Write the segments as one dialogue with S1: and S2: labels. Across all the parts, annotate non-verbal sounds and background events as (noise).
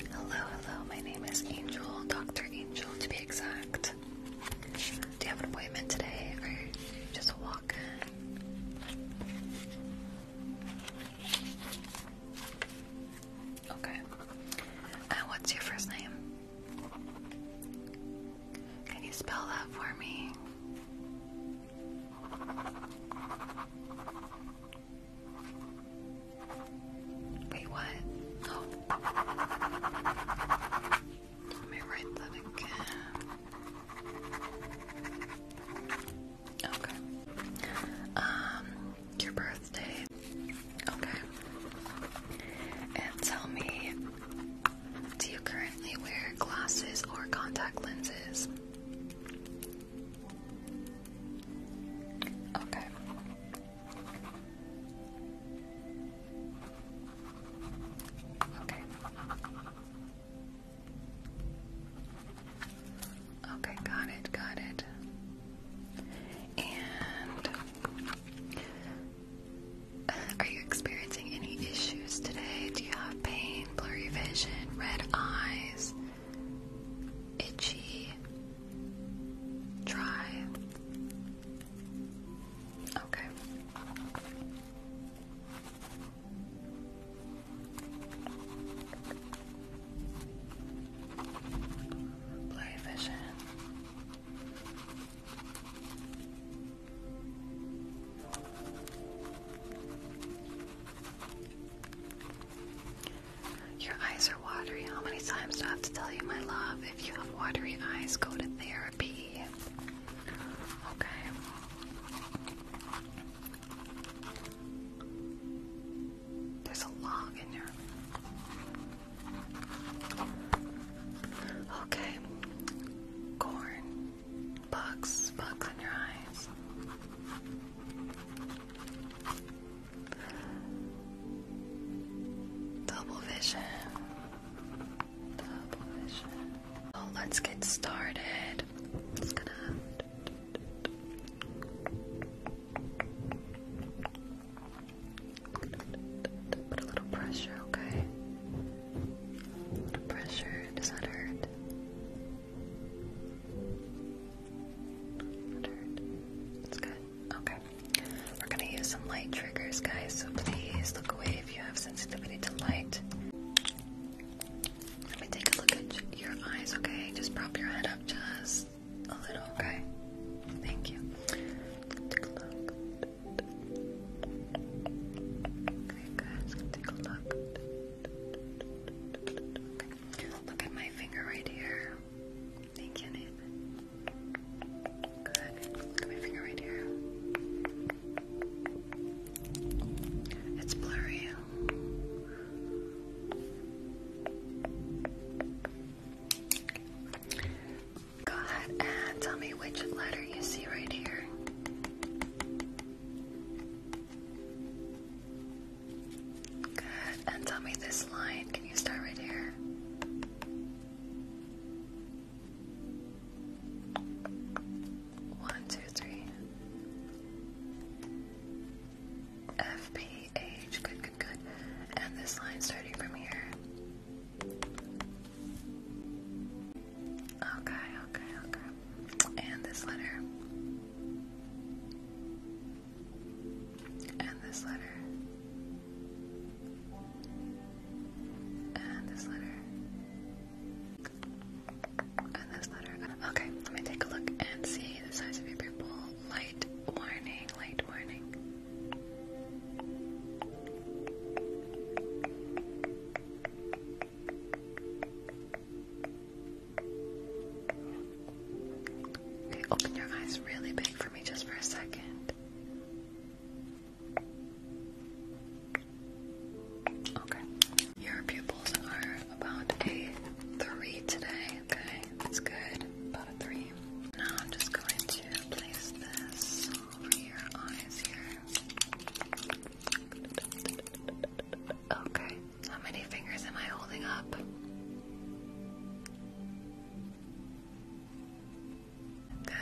S1: Hello, hello, my name is Angel, Dr. Angel to be exact. Do you have an appointment today or just a walk Okay. Uh, what's your first name? Can you spell that for me? Wait, what? Oh. Let me write that again. Okay. Um, your birthday. Okay. And tell me, do you currently wear glasses or contact lenses? Okay. Okay. Okay, got it, got it. And are you experiencing any issues today? Do you have pain, blurry vision, red eyes? itchy, dry. Okay. Blurry vision. Your eyes are watery. How many times do I have to tell you, my love? If you have watery eyes, go to therapy. Okay. There's a log in there. Okay. Corn. Bugs. Bugs in your eyes. Double vision. let's get started. Put a little pressure, okay? little pressure. Does that hurt? It's good. Okay. We're gonna use some light triggers, guys, so please look away if you have sensitivity to light. Let me take a look at your eyes, okay? Just prop your head up just a little, okay? Thank you. Take a look. Okay, guys, take a look. Look at my finger right here. Thank you, Nathan. my finger right here. It's blurry. Go ahead and tell me which letter you see right here. Good. And tell me this line. Can you start right here? One, two, three. F P H. Good, good, good. And this line starting from here. Okay, okay, okay. And this letter and this letter, and this letter, and this letter. Okay, let me take a look and see the size of your pupil. Light warning, light warning open your eyes really big for me just for a second. Okay. Your pupils are about a three today, okay? That's good. About a three. Now I'm just going to place this over your eyes here. Okay. How many fingers am I holding up?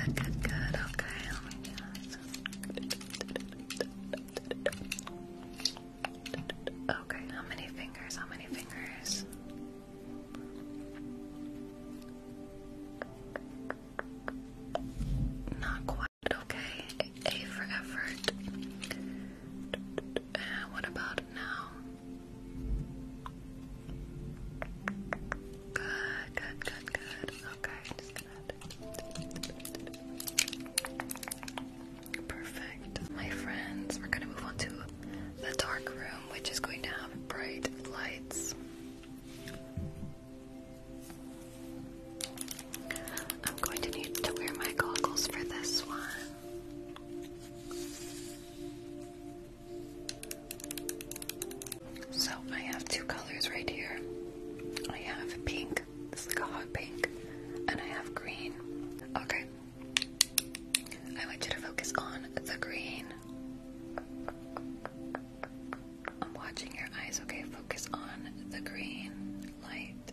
S1: Good, good, good. Okay, let me do this. Okay, how many fingers? How many fingers? Not quite. Okay, A for effort. And uh, what about now? Good, good, good, good. Okay, Perfect. My friends, we're gonna move on to the dark room, which is going to have bright lights. I'm going to need to wear my goggles for this one. So I have two colors right here. I have pink, this is like a hot pink, and I have green. Okay. I want you to focus on the green. I'm watching your eyes, okay? Focus on the green light.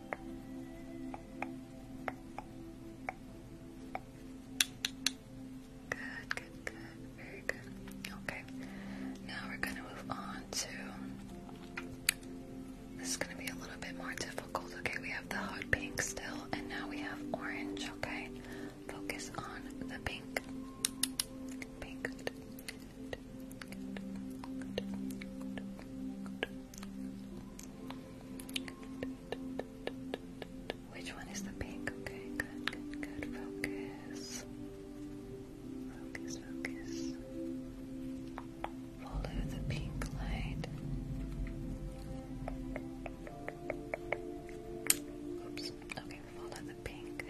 S1: Good, good, good. Very good. Okay. Now we're going to move on to. This is going to be a little bit more difficult. Okay, we have the hot pink still, and now we have orange. Okay. Focus on the pink. Pink. Which one is the pink? Okay, good, good, good. Focus. Focus, focus. Follow the pink light. Oops. Okay, follow the pink.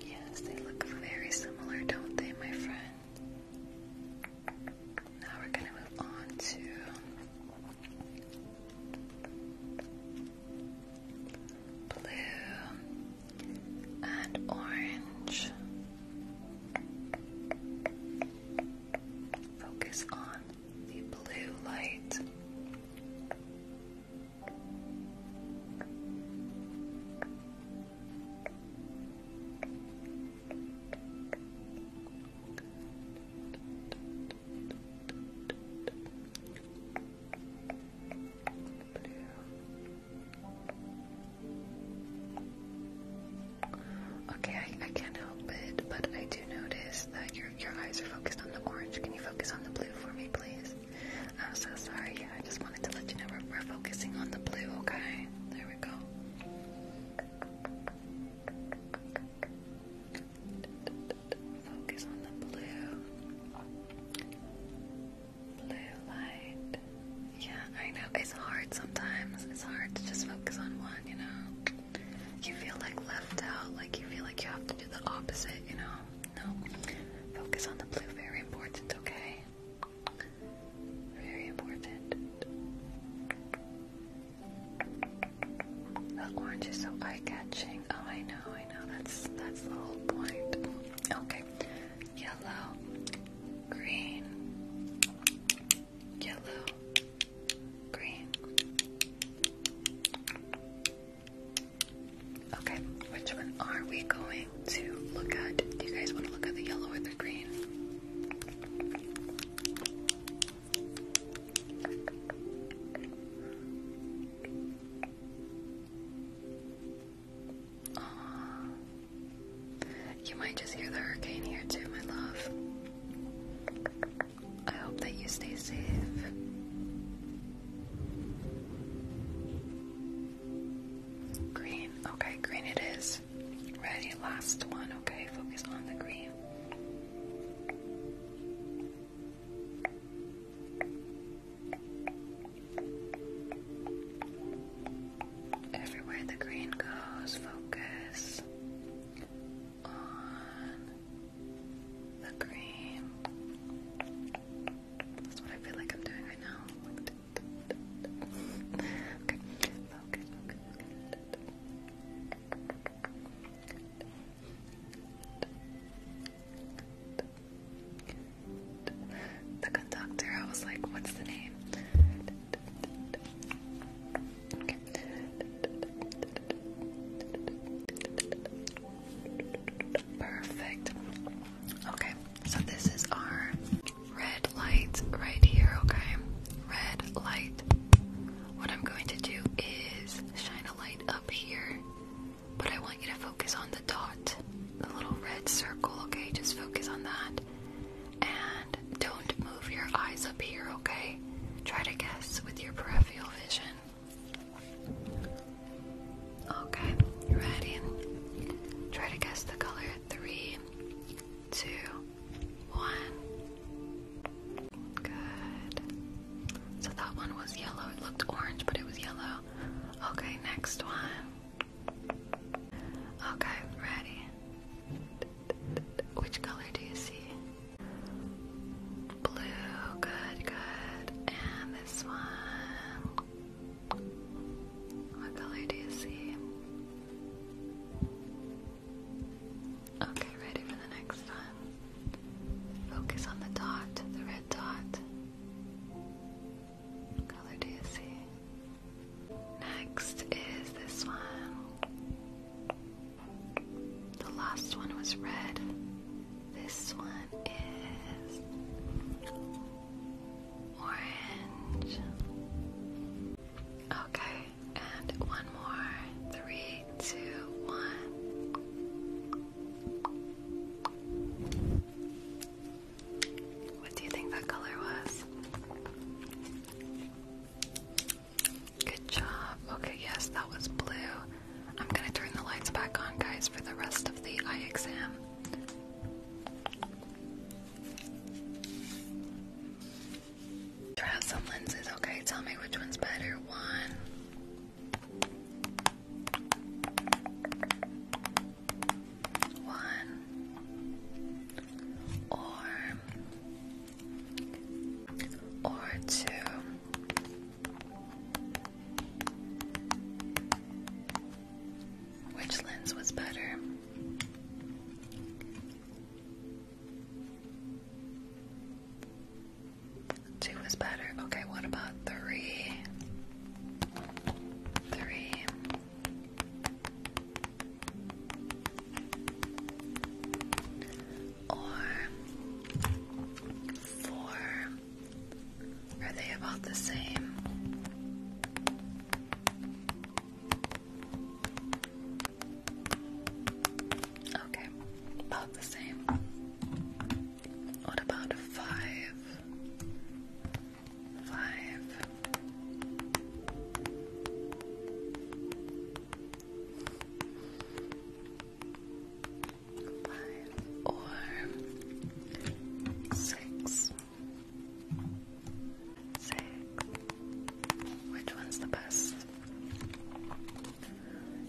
S1: Yes, they look very similar, don't they, my friend? Now we're going to move on to blue and orange. Focus on the blue light. Okay, I, can't help it, but I do notice that your your eyes are focused on the orange. Can you focus on the blue for me, please? I'm so sorry. Yeah, I just wanted to let you know we're, we're focusing on the blue, okay? There we go. Focus on the blue. Blue light. Yeah, I know. It's hard sometimes. It's hard to just focus on one, you know? You feel like left out, like you feel like you have to do the opposite, you know? No. Focus on the blue, very important, okay? Very important. The orange is so eye-catching. Oh, I know, I know. That's that's the whole point. Okay, yellow, green, yellow, green. Okay, which one are we going to look at? Do you guys want to look at the yellow or the green? You might just hear the hurricane here too, my love. I hope that you stay safe. Green. Okay, green it is. Ready, last one. Okay, focus on the green. Everywhere the green goes, focus on the green. That's what I feel like I'm doing right now. The conductor, I was like, what's the name? Perfect. Okay. So this is our red light right here, okay? Red light. What I'm going to do is shine a light up here, but I want you to focus on the dot, the little red circle, okay? Just focus on that. And don't move your eyes up here, okay? Try to guess with your peripheral vision. Okay, you ready? Try to guess the color. Three, two, one. Good. So that one was yellow. It looked orange, but it was yellow. Okay, next one. Okay, ready. Which color do you see? Blue, good, good. And this one. What color do you see? Okay, ready for the next time. Focus on the dot, the red dot. color do you see? Next is this one. The last one was red. This one is orange. Okay, and one more. Three, two, one. What do you think that color was? Good job. Okay, yes, that was blue. I'm gonna turn the lights back on, guys, for the rest of the eye exam. Try out some lenses, okay? Tell me which one's better. One. One or or two which lens was better? Two was better. Okay, what about three? Three. Or four. Are they about the same? Okay, about the same. What about five? or six. Six. Which one's the best?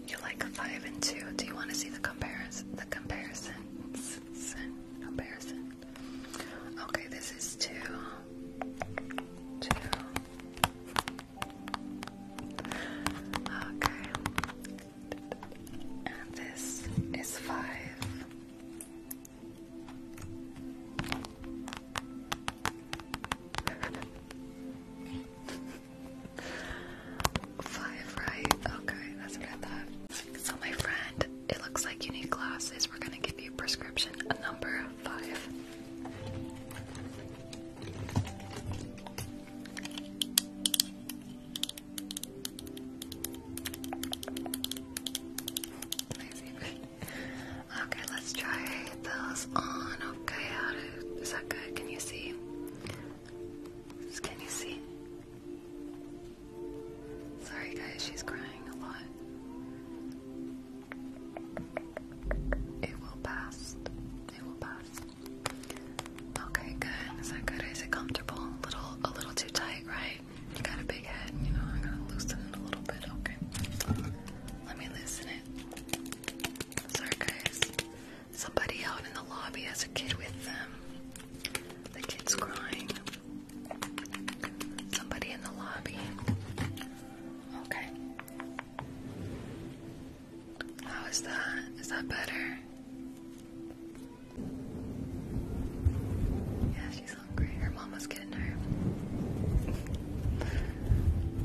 S1: You like five and two. Do you want to see the comparison? The comparisons. Comparison. Okay, this is two. Two. Okay. And this is five. Five, right? Okay, that's what I thought. So, my friend, it looks like you need glasses. We're gonna give you prescription number five okay, let's try those on. Okay, how to, is that good? Can you see? Can you see? Sorry, guys, she's crying a lot. It will pass. It will pass. Okay, good. Is that good? Is it comfortable? A little, a little too tight, right? You got a big head, you know, I am going to loosen it a little bit, okay. Let me loosen it. Sorry guys. Somebody out in the lobby has a kid with them. The kid's crying. Somebody in the lobby. Okay. How is that? Is that better? Yeah, she's hungry. Her mama's getting her.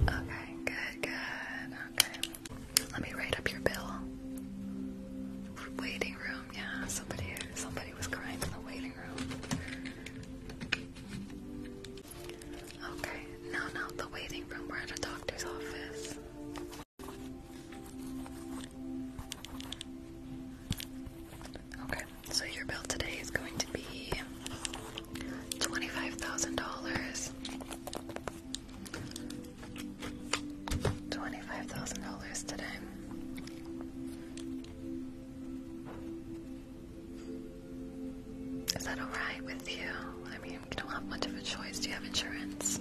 S1: okay, good, good. Okay. Let me write up your bill. Waiting room, yeah. Somebody somebody was crying in the waiting room. Okay, no, no, the waiting room. We're at a doctor's office. Okay, so your bill today is going to be $25,000. $25,000 today. Is that alright with you? I mean, you don't have much of a choice. Do you have insurance?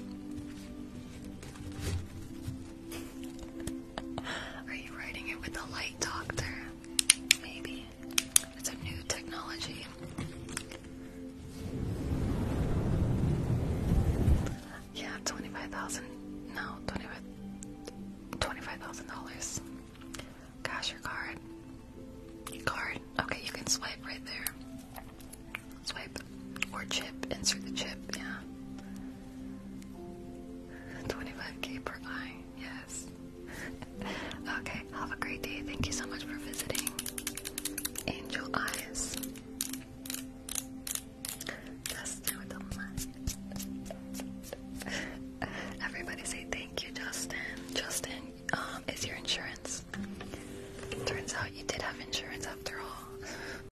S1: Are you writing it with the light doctor? Maybe. It's a new technology. Yeah, twenty-five thousand. No, twenty-five. Twenty-five thousand dollars. Cash your card. Your card. Okay, you can swipe right there. Swipe. Or chip, insert the chip, yeah. 25k per eye, yes. (laughs) okay, have a great day. Thank you so much for visiting. Angel Eyes. Justin with the (laughs) Everybody say thank you, Justin. Justin, um, is your insurance? Turns out you did have insurance after all. (laughs)